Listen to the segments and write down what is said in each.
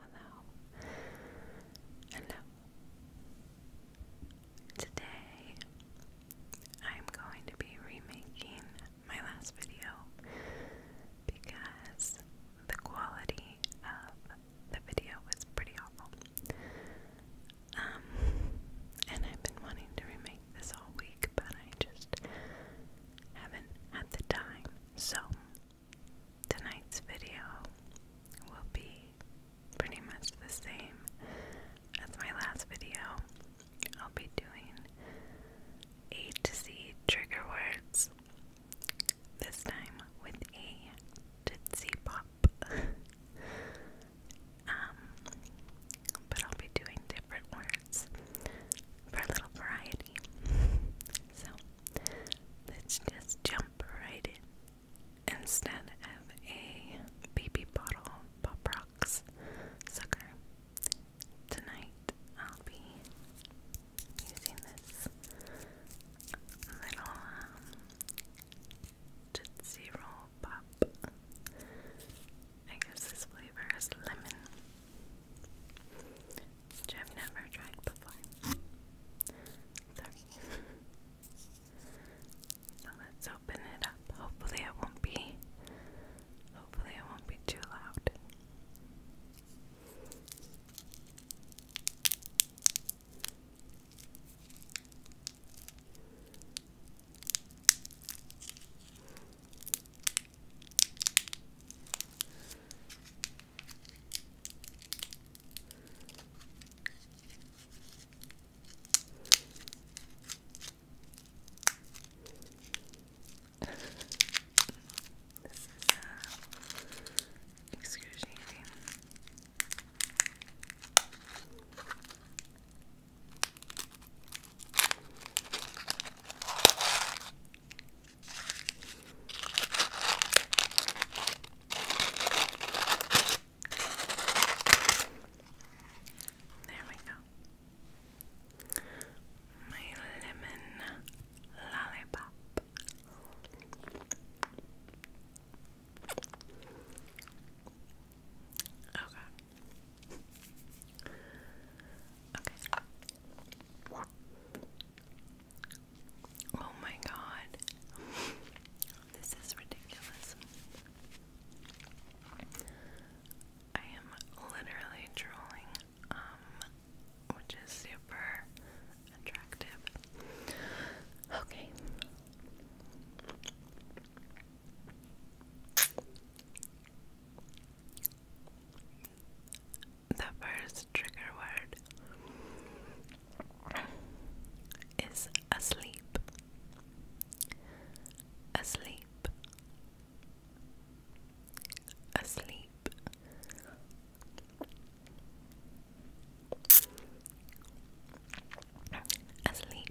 hello, hello. Today, I'm going to be remaking my last video because the quality of the video was pretty awful. Um, and I've been wanting to remake this all week, but I just haven't had the time. So, Tonight's video will be pretty much the same as my last video. I'll be doing A to Z trigger words, this time with A to Z pop. Um, but I'll be doing different words for a little variety. So let's just jump right in. Instead of a baby bottle pop rocks sucker, tonight I'll be using this little um, Roll Pop. I guess this flavor is lemon. I've never tried before. Sorry. so let's open it up. Hopefully it won't be hopefully it won't be too loud this is uh, excruciating. There we go. My lemon lollipop. Oh, okay. Okay. Oh my god. This is ridiculous. I am literally drooling, um, which is super attractive. Okay. The first trigger word is Asleep. Asleep. Asleep. Asleep. Asleep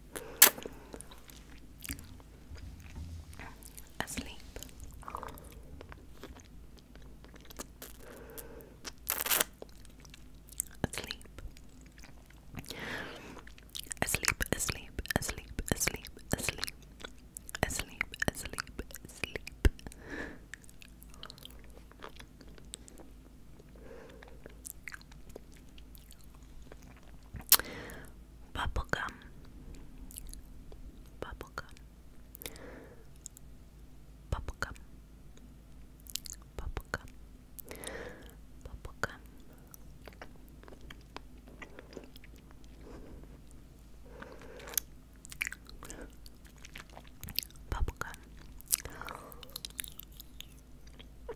asleep. Asleep. Asleep, asleep, asleep, asleep, asleep. Asleep, asleep, asleep. Bubblegum. Bubblegum. Bubblegum. Bubblegum. Bubblegum. Bubblegum.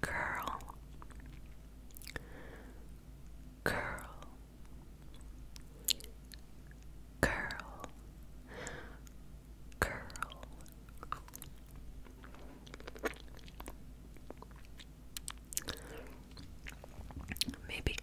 Curl, curl, curl, curl. Maybe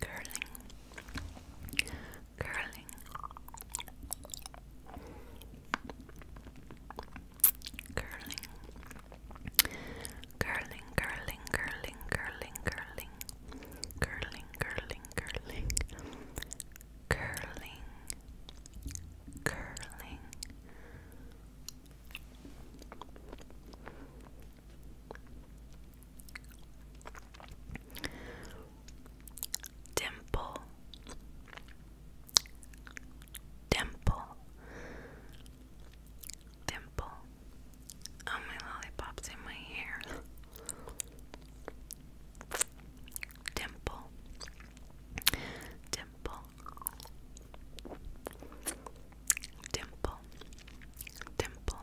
curling, curling, curling, curling, curling, curling, curling, curling, curling, curling, curling, curling, curling. Dimple, dimple, dimple. Oh, my lollipop's in my hair. Dimple, dimple, dimple, dimple,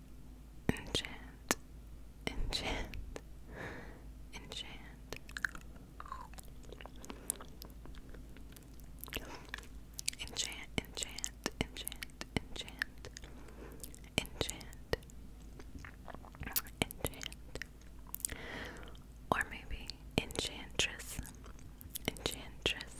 enchant, enchant, enchant. Enchant, enchant, enchant, enchant, enchant, enchant, or maybe enchantress, enchantress,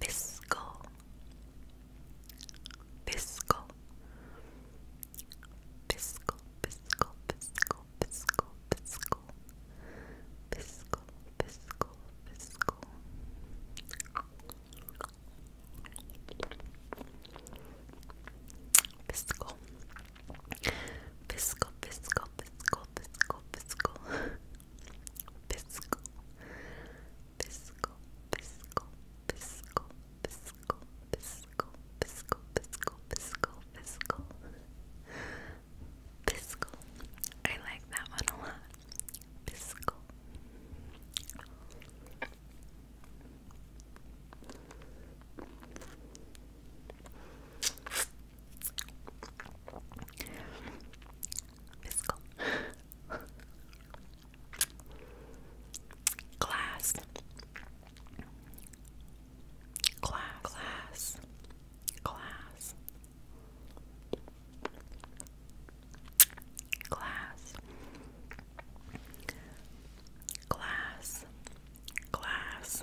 fiscal, fiscal, fiscal, fiscal, fiscal, fiscal, fiscal, fiscal, fiscal, fiscal. Fiscal, fiscal, fiscal, fiscal, fiscal, fiscal, fiscal, Fiscal, fiscal, fiscal, fiscal, fiscal, fiscal, fiscal, fiscal, fiscal, fiscal. I like that one a lot. Fiscal. Fiscal. Glass. Glass. Glass. Glass. Glass. Glass. Glass.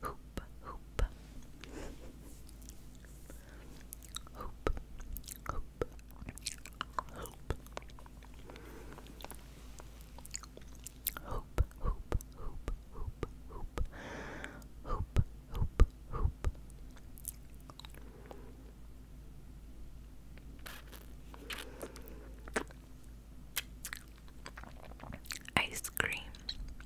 hoop, hoop, hoop, hoop, hoop, hoop, hoop, hoop, hoop, hoop, hoop, hoop, hoop. Ice cream,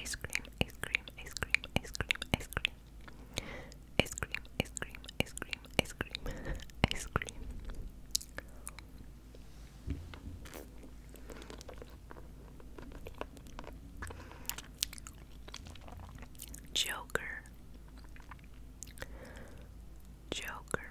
Ice cream, ice cream, ice cream, ice cream, ice cream. Ice cream, ice cream, ice cream, ice cream, ice cream. Joker, Joker,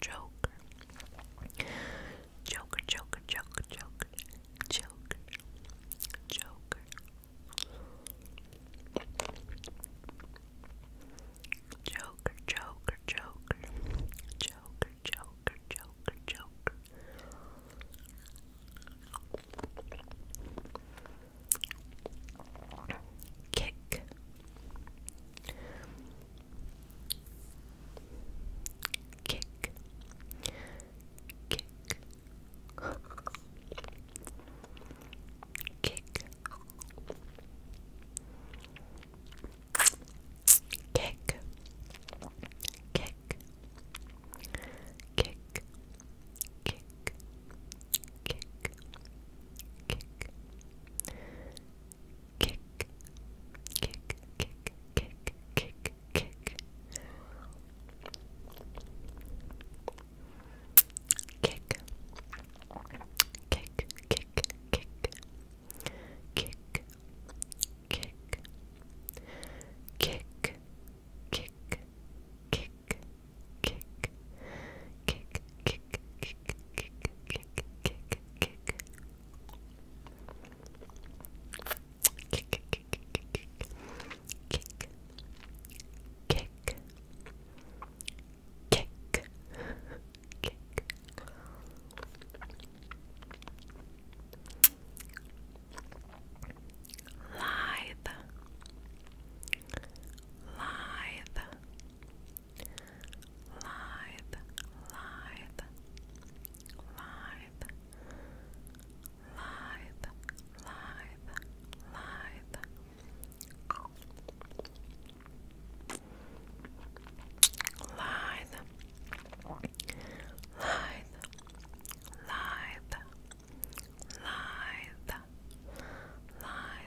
Joker. Joker, Joker, Joker, Joker, Joker, Joker. Joker, Joker, Joker, Joker, Joker, Joker, Joker. Kick, Kick. Kick. Kick. Kick. Kick. Kick. Kick. Kick. Kick kick, kick, kick, kick, kick, kick, kick, kick, kick, kick, kick, kick, kick, kick, kick, kick, kick, kick, kick, kick, kick, kick, kick, kick. Kick, kick, kick, kick, kick, kick, kick, kick, kick. Lithe, lithe, live, live, live, live, live, live. Live, live, live, live, live,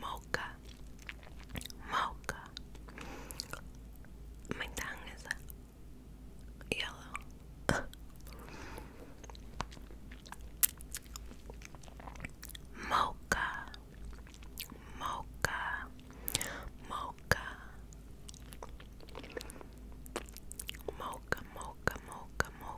Mocha. Mocha. My tongue is yellow. Mocha. Mocha. Mocha. Mocha, mocha, mocha, mocha.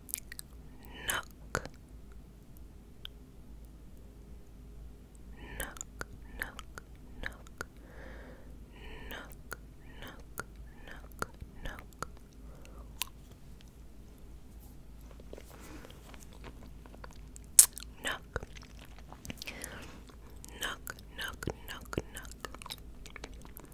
Nook. Nook, nook, nook, nook, nook, nook, nook. Nook. Nook, nook, nook, nook.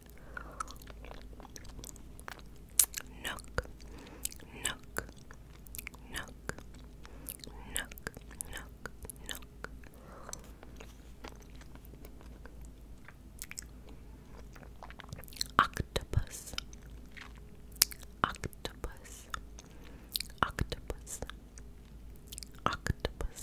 Nook, nook, nook, nook, nook, nook. Octopus, octopus, octopus, octopus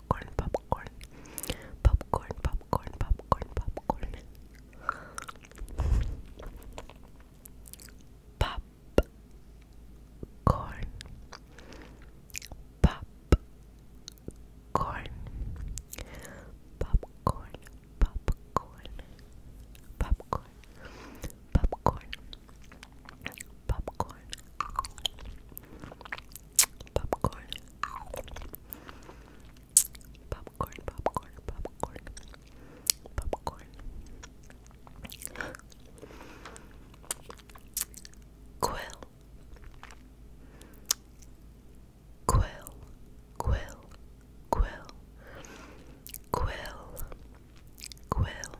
popcorn, popcorn, popcorn, popcorn, popcorn, popcorn. Pop corn pop corn popcorn popcorn popcorn popcorn popcorn, popcorn, popcorn, popcorn, popcorn, popcorn. Quill, quill, quill, quill, quill, quill.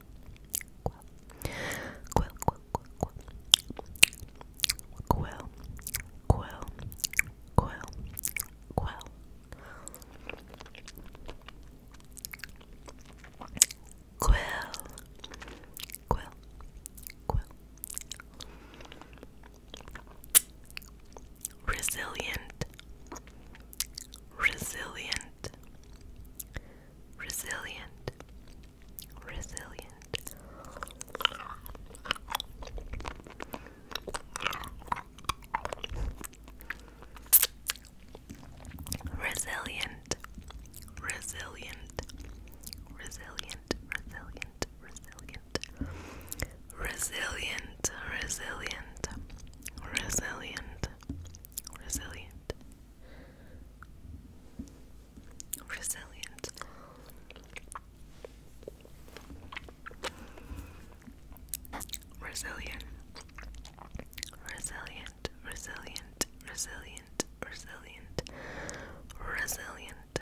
quill, quill, quill, quill, quill, quill, quill, quill, quill. Quill, Resilient, resilient, resilient, resilient. Resilient, resilient, resilient, resilient, resilient, resilient, resilient, resilient, resilient, Resilience. Resilient. Resilient. Resilient. Resilient. Resilient. Resilient.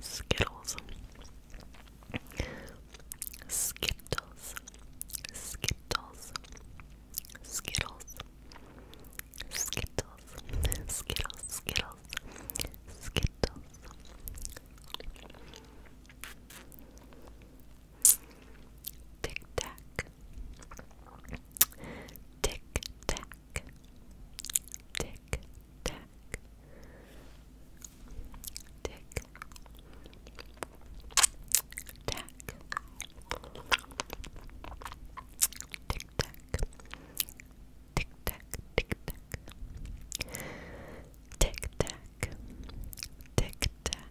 Skittles. Skittles. Skittles. Skittles. Skittles. Skittles. Skittles. Skittles. Tic Tac. Tick tack. Tick tack. Tick tack. Tick tack. Tick tack. Tick tack. Tick tack. Tick tack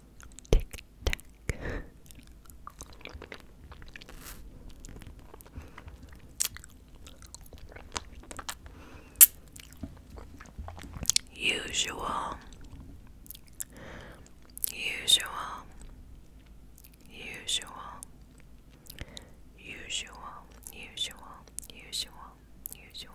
Tic tac. Usual. Usual. Usual. Usual. Usual. Usual. Usual.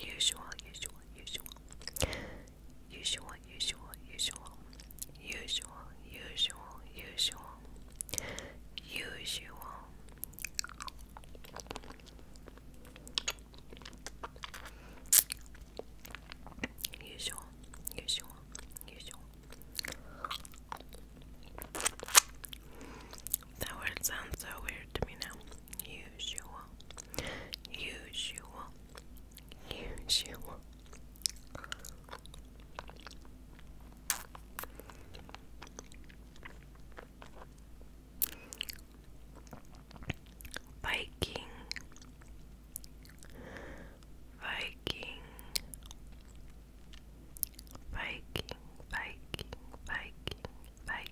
Usual, usual, usual. Usual, usual, usual. Usual, usual, usual. Usual. Usual, usual, usual. That word sounds so weird to me now. Usual. Usual. Usual. Viking. Viking. Viking, Viking, Viking, Viking,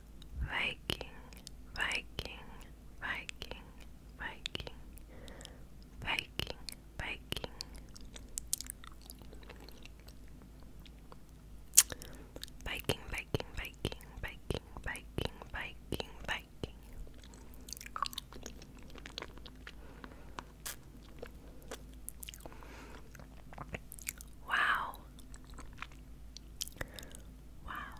Viking, Viking, Viking, Viking, Viking, Viking. Viking, Viking, Viking, Viking, Viking, Viking, Viking. Wow. Wow.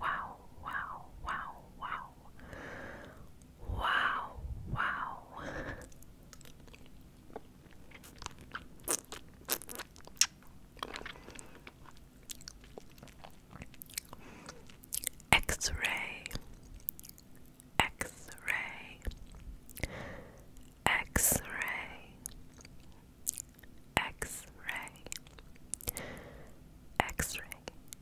wow, wow, wow, wow. Wow, wow. X-ray, X-ray, X-ray, X-ray, X-ray,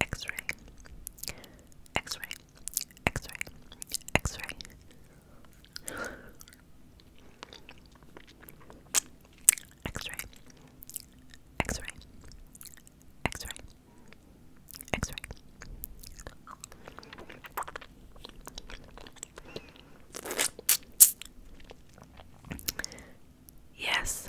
X ray, X ray, X ray, X ray, X ray, X ray, X ray, X ray. Yes.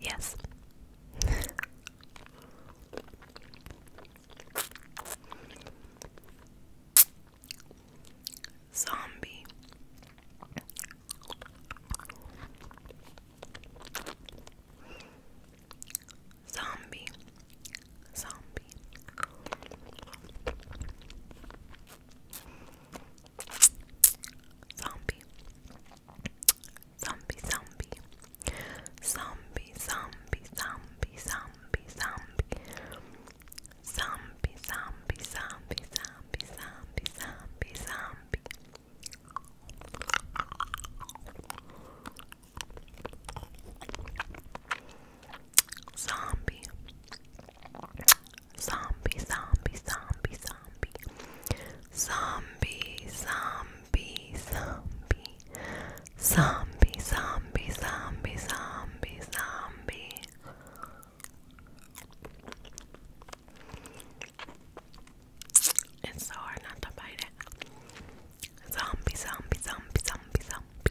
Yes. Zombie. Zombie. Zombie. Zombie. Zombie, zombie. Zombie, zombie, zombie, zombie, zombie. Zombie, zombie, zombie, zombie, zombie, zombie, zombie. Zombie. Zombie, zombie, zombie, zombie. Zombie, zombie, zombie. Zombie, zombie, zombie, zombie, zombie. It's so hard not to bite it. Zombie, zombie, zombie, zombie, zombie.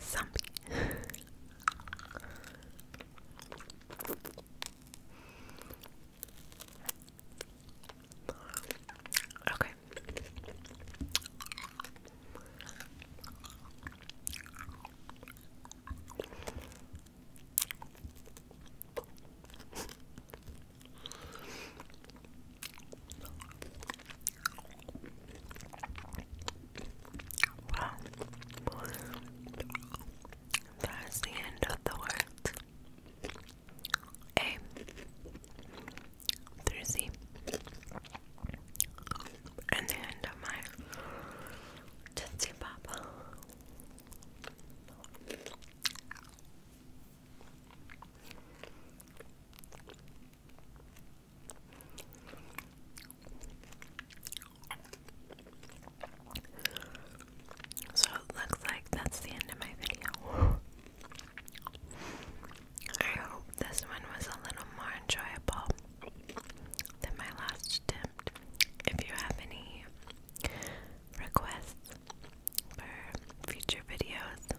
Zombie. okay. That's the end of the words. A through Z. And the end of my Tootsie Pop. So looks like that's the end of my video. I hope this one was a little more enjoyable than my last If you have any requests for future videos,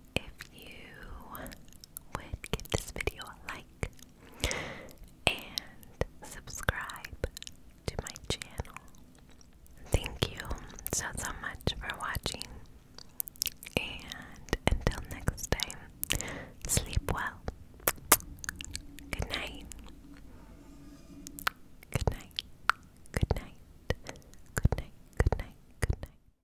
if you would give this video a like and subscribe to my channel. Thank you so, so much for watching. And until next time, sleep well. Good night. Good night. Good night. Good night. Good night. Good night.